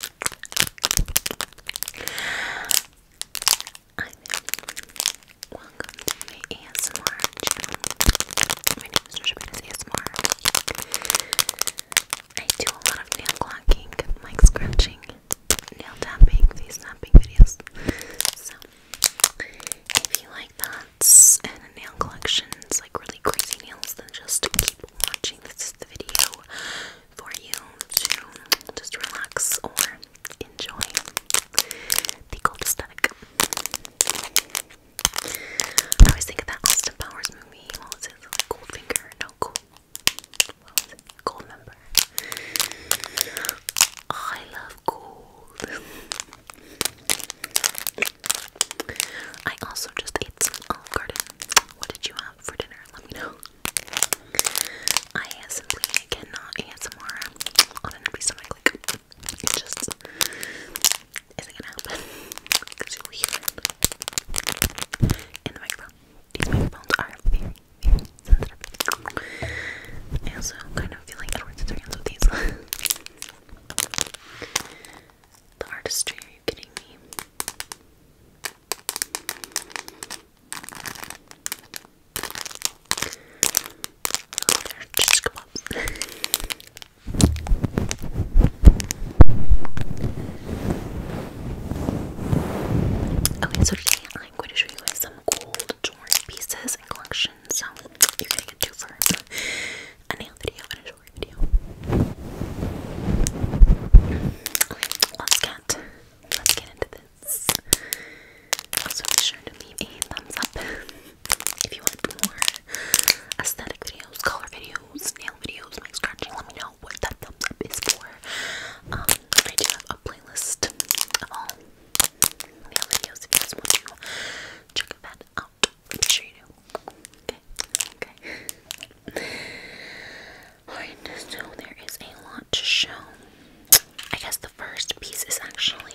Welcome to ASMR My name is Shabina's ASMR. I do a lot of nail clocking, mic scratching, nail tapping, these tapping videos. So, if you like that and nail collection, like really crazy nails, then just keep watching. This video for you to just relax or enjoy the cold aesthetic. I always think of that Austin Powers movie. Goldfinger? No, cool. Gold member. I love gold. I also just ate some Olive What did you have? for dinner, let me know. I simply cannot ASMR on an empty stomach, like, it just isn't gonna happen because you'll in the microphone. These microphones I also kind of feel like Edward Scissorhands with these. the artistry, are you kidding me? okay, so today I'm going to show you some gold jewelry pieces and collections. So you're gonna get two for a video and jewelry Let's get let's get into this. Also be sure to leave a thumbs up if you want more aesthetic videos, color videos, nail videos, my scratching. Let me know what that thumbs up is for. Um, I do have a playlist of all nail videos if you guys want to check that out. Make sure you do. Okay, okay so there is a lot to show. I guess the first piece is actually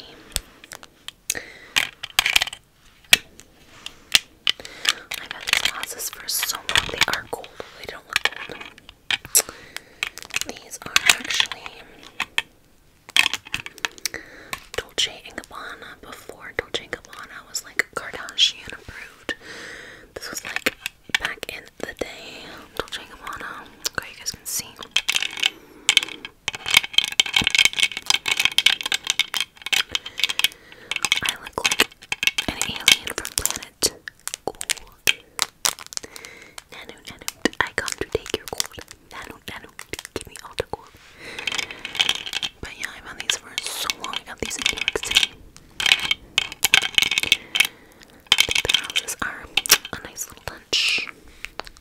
I've had these vases for so long. They are gold. They don't look gold. These are actually Dolce & Gabbana before Dolce & Gabbana was like Kardashian approved. This was like back in the day. Dolce Okay, you guys can see. I look like an alien from planet Nano, nano, I come to take your gold. Nano, nano, give me all the gold. But yeah, I found these for so long. I got these in New York City. The houses are a nice little lunch.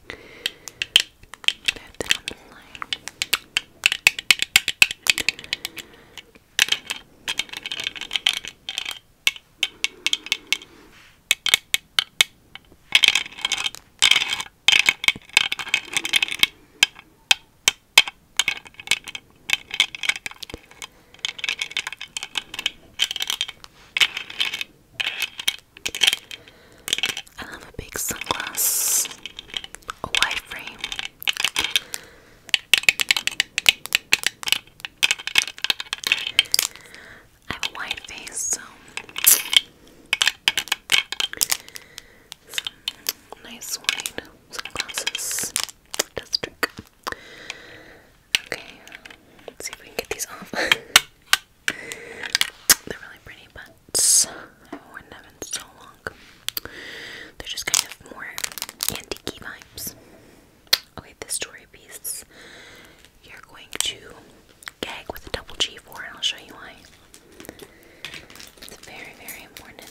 Put that on the line. Okay. I love a big sunglass, a wide frame. I have a wide face, so nice wide sunglasses does trick. Okay, let's see if we can get these off. They're really pretty butts. I haven't worn them in so long. They're just kind of more antique vibes. Okay, this jewelry piece you're going to gag with a double G for, and I'll show you why. It's very, very important.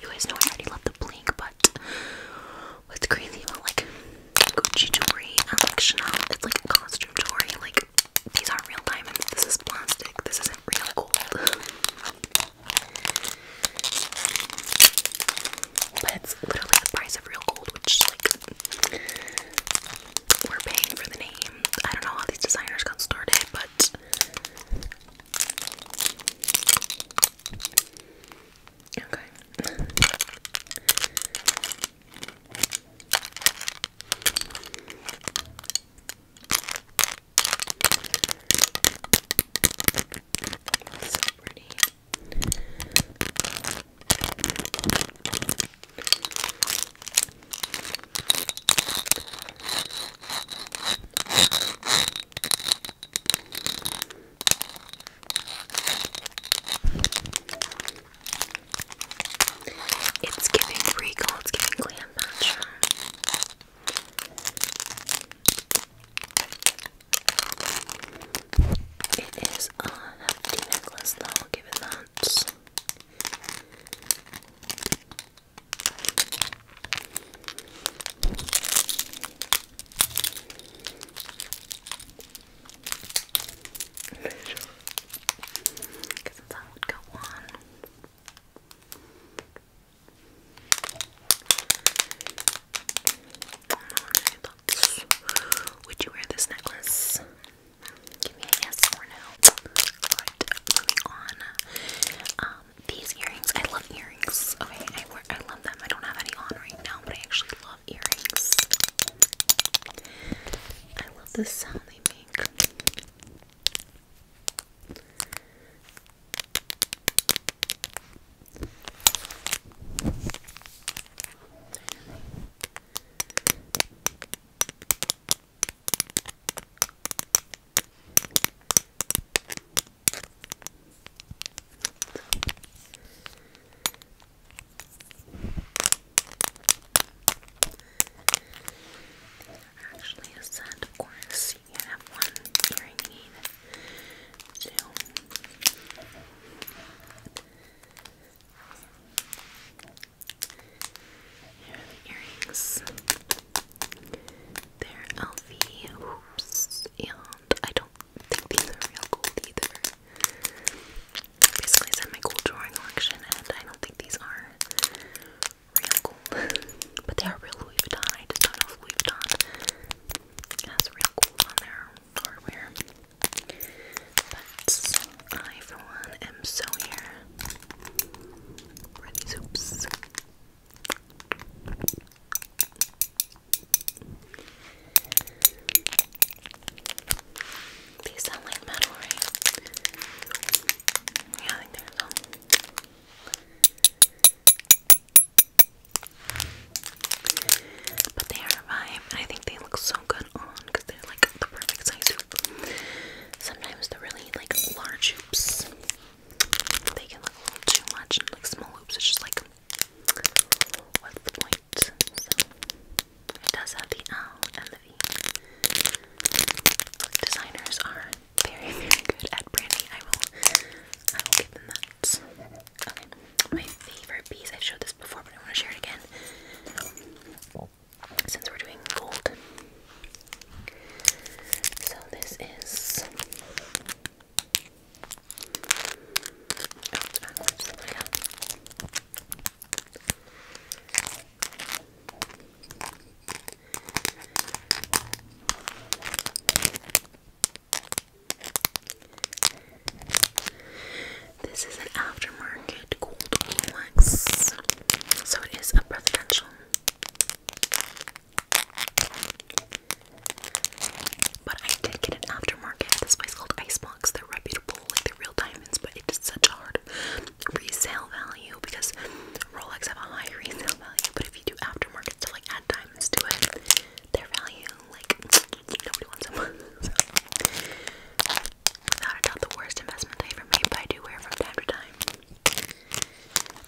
You guys know I already love the blink, but what's crazy about like Gucci jewelry and like Chanel, it's like costume jewelry. Like these aren't real diamonds. This is plastic. This isn't real gold. but it's literally the price of real gold, which like we're paying for the name. I don't know how these designers got started, but okay. so pretty. It's giving regal, it's giving glam It is a hefty necklace though, given that because that's how would go on. Would you wear this necklace? Give me a yes or no. Alright, on. Um, these earrings, I love earrings. Okay, I wear, I love them. I don't have any on right now, but I actually love earrings. I love the sound they make. Actually, a set, of course. You have one earring, you need two. Here are the earrings. They're Elfie and I don't think these are real gold either. Basically, it's in my gold drawing collection, and I don't think these are real gold. but they are real Louis Vuitton. I not Louis Vuitton has real gold on their hardware. But I, for one, am so here for these hoops. These sound like metal, right? Yeah, I think they're metal. But they are a I think they look so good on because they're like the perfect size Sometimes the really like large hoops, they can look a little too much, like small hoops, it's just like, what's the point? it does have the L and the V. Designers are very, very good at branding. I will, I will give them that. Okay, my favorite piece. i showed this before, but I want to share it again since we're doing gold. So this is. This is an aftermarket gold Rolex, so it is a presidential. But I did get an aftermarket this place called Icebox. They're reputable, like they're real diamonds, but it's such hard resale value because Rolex have a high resale value. But if you do aftermarket stuff, like add diamonds to it, their value, like nobody wants them. without a doubt the worst investment I ever made, but I do wear from time to time.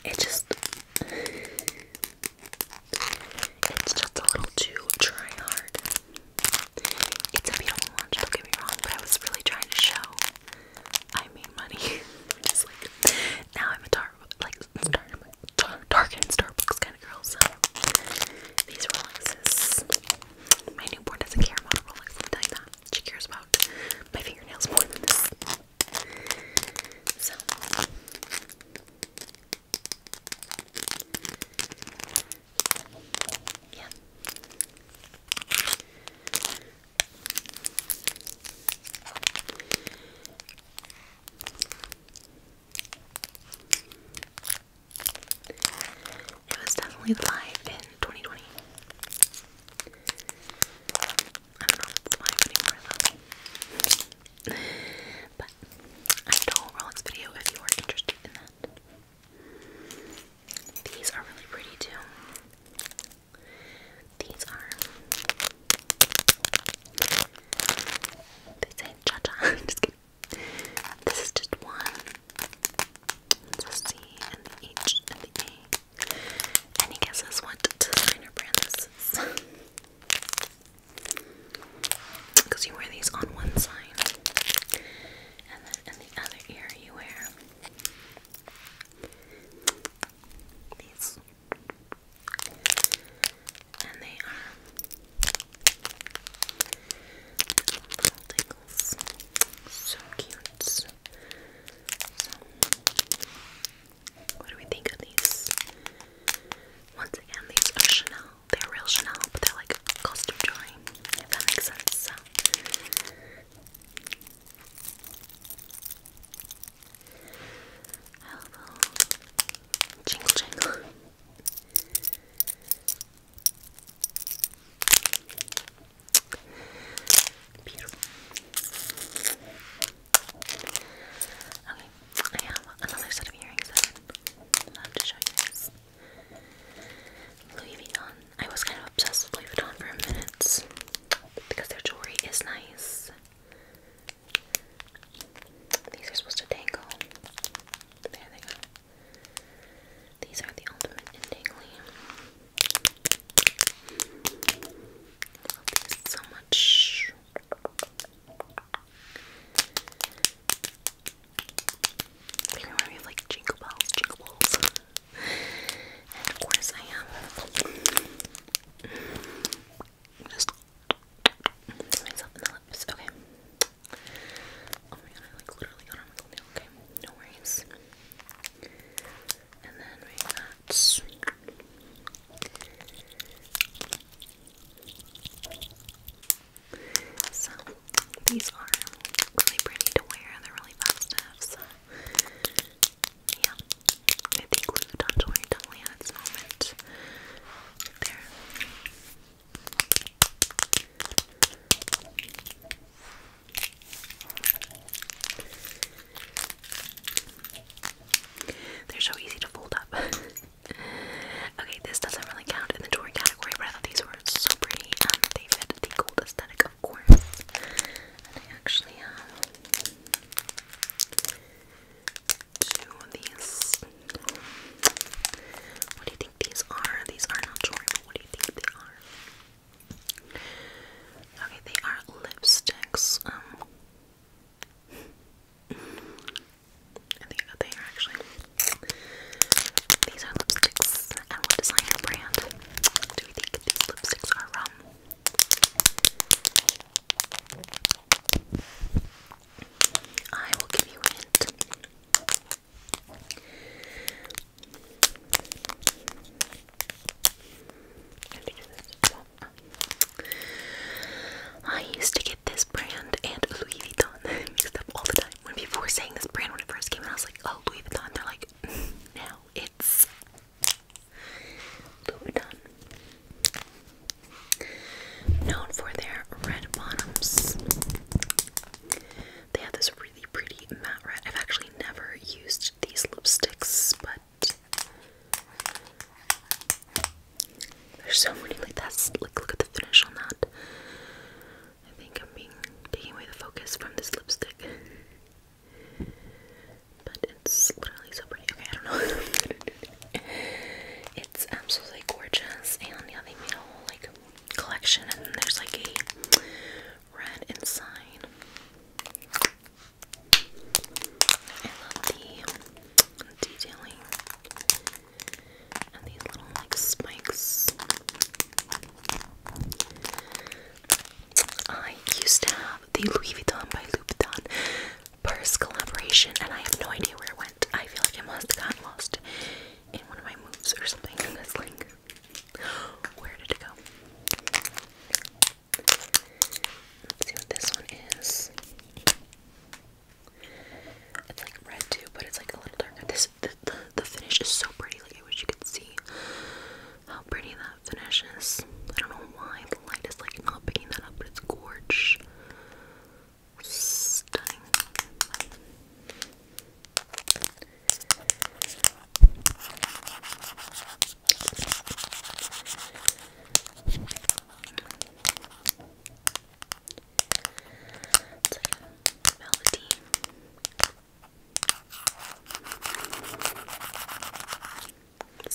It just it's just a little too try hard. It's a beautiful lunch, don't get me wrong, but I was really trying to show I made money. now I'm a tar like tar tar and Starbucks kind of girl, so these Rolexes my newborn doesn't care about a Rolex, I'm telling you that. She cares about my fingernails more than this. So. Yeah. It was definitely live in 2020. I don't know if it's live anymore though. But I did a whole video if you are interested in that. These are really pretty too. These are. They say cha cha. just kidding. This is just one. The C and the H and the A. Any guesses what designer brand this is? Because you wear these on one side, and then in the other ear you wear these, and they are tingles. So cute. what do we think of these? Once again, these are Chanel. They're real Chanel, but they're like costume jewelry, if that makes Jingle jingle. Okay, I have another set of earrings I'd love to show Louis Vuitton. I was kind of obsessed with Louis Vuitton for a minute because their jewelry is nice. These are supposed to dangle. There they go. These are the ultimate in tingly. I love these so much. They remind me like jingle bells, jingle balls. and of course I am myself in the lips. Okay. Oh my god, I like literally got on my thumbnail. Okay, no worries. And then we got. So, these are really pretty to wear, they're really festive, yeah. I think Louis Vuitton jewelry definitely at its moment. There. They're so easy to fold up. okay, this doesn't really count in the toy category, but I thought these were so pretty. Um, they fit the gold aesthetic, of course. And I actually have two of these. What do you think these are? These are not jewelry, what do you think they are? Okay, they are lipsticks. Um, I think I got actually. These are lipsticks. And what design brand do we think these lipsticks are from? I will give you hint. I used to get this brand and Louis Vuitton mixed up all the time. When people were saying this brand when it first came out, I was like, oh, Louis Vuitton. They're like, now it's Louis Vuitton. Known for their red bottoms. They have this really pretty matte red. I've actually never used these lipsticks, but there's so many like that's like look at the finish on that. I think I'm being taking away the focus from this lipstick. But it's literally so pretty. Okay, I don't know. it's absolutely gorgeous and yeah they made a whole like collection and there's like a red inside. I love the detailing and these little like spikes. I used to have the Louis Vuitton by Louis Vuitton purse collaboration and I have no idea where it went. I feel like I must have got lost in one of my moves or something. Because like, where did it go? Let's see what this one is. It's like red too, but it's like a little darker. This the, finish is so pretty. Like I wish you could see how pretty that finish is. I don't know why the light is like not picking that up, but it's gorge. Stunning. It's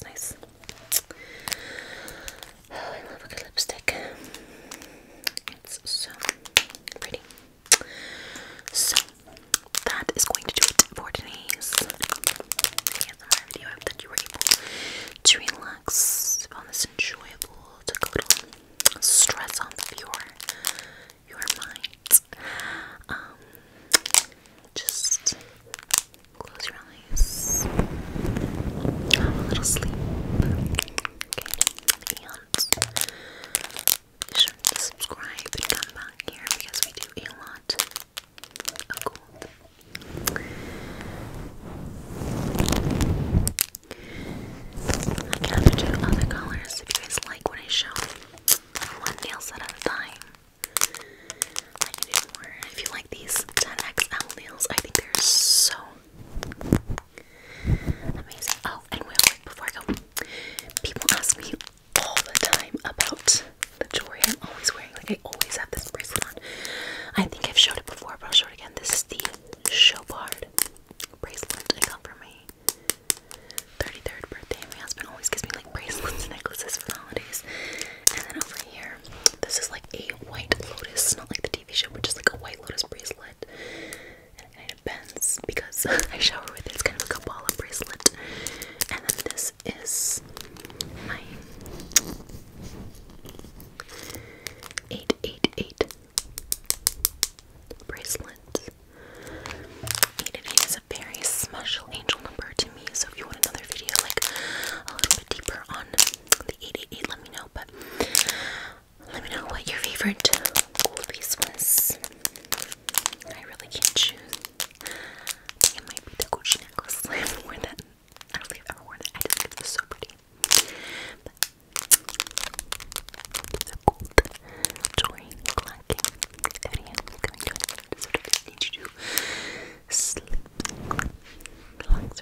like nice. I love a good lipstick. It's so pretty. So that is going to do it for Denise. I hope that you were able to relax on this enjoyable to go to stress off your your mind. Um just close your eyes. Have a little sleep. Okay. Be sure to subscribe and come back here because we do a lot I can do other colors if you guys like what I show. One nail set at a time. I can more. If you like these 10XL nails, I think they're so Amazing. Oh, and before I go, people ask me all the time about the jewelry I'm always wearing. Like I always have this bracelet on. I think I've showed it before, but I'll show it again. This is the Chopard bracelet I got for my 33rd birthday. My husband always gives me like bracelets and necklaces for the holidays. And then over here, this is like a white lotus, It's not like the TV show, but just like a white lotus bracelet it bends because I shower with it. It's kind of like a Kabbalah bracelet. And then this is my 888 bracelet. 888 is a very special angel number to me. So if you want another video, like a little bit deeper on the 888, let me know. But let me know what your favorite piece was. I really can't choose. it might be the Gucci necklace. I have worn that. I don't think I've ever worn that. so pretty. the gold jewelry clacking video coming to an I need you to sleep. relax.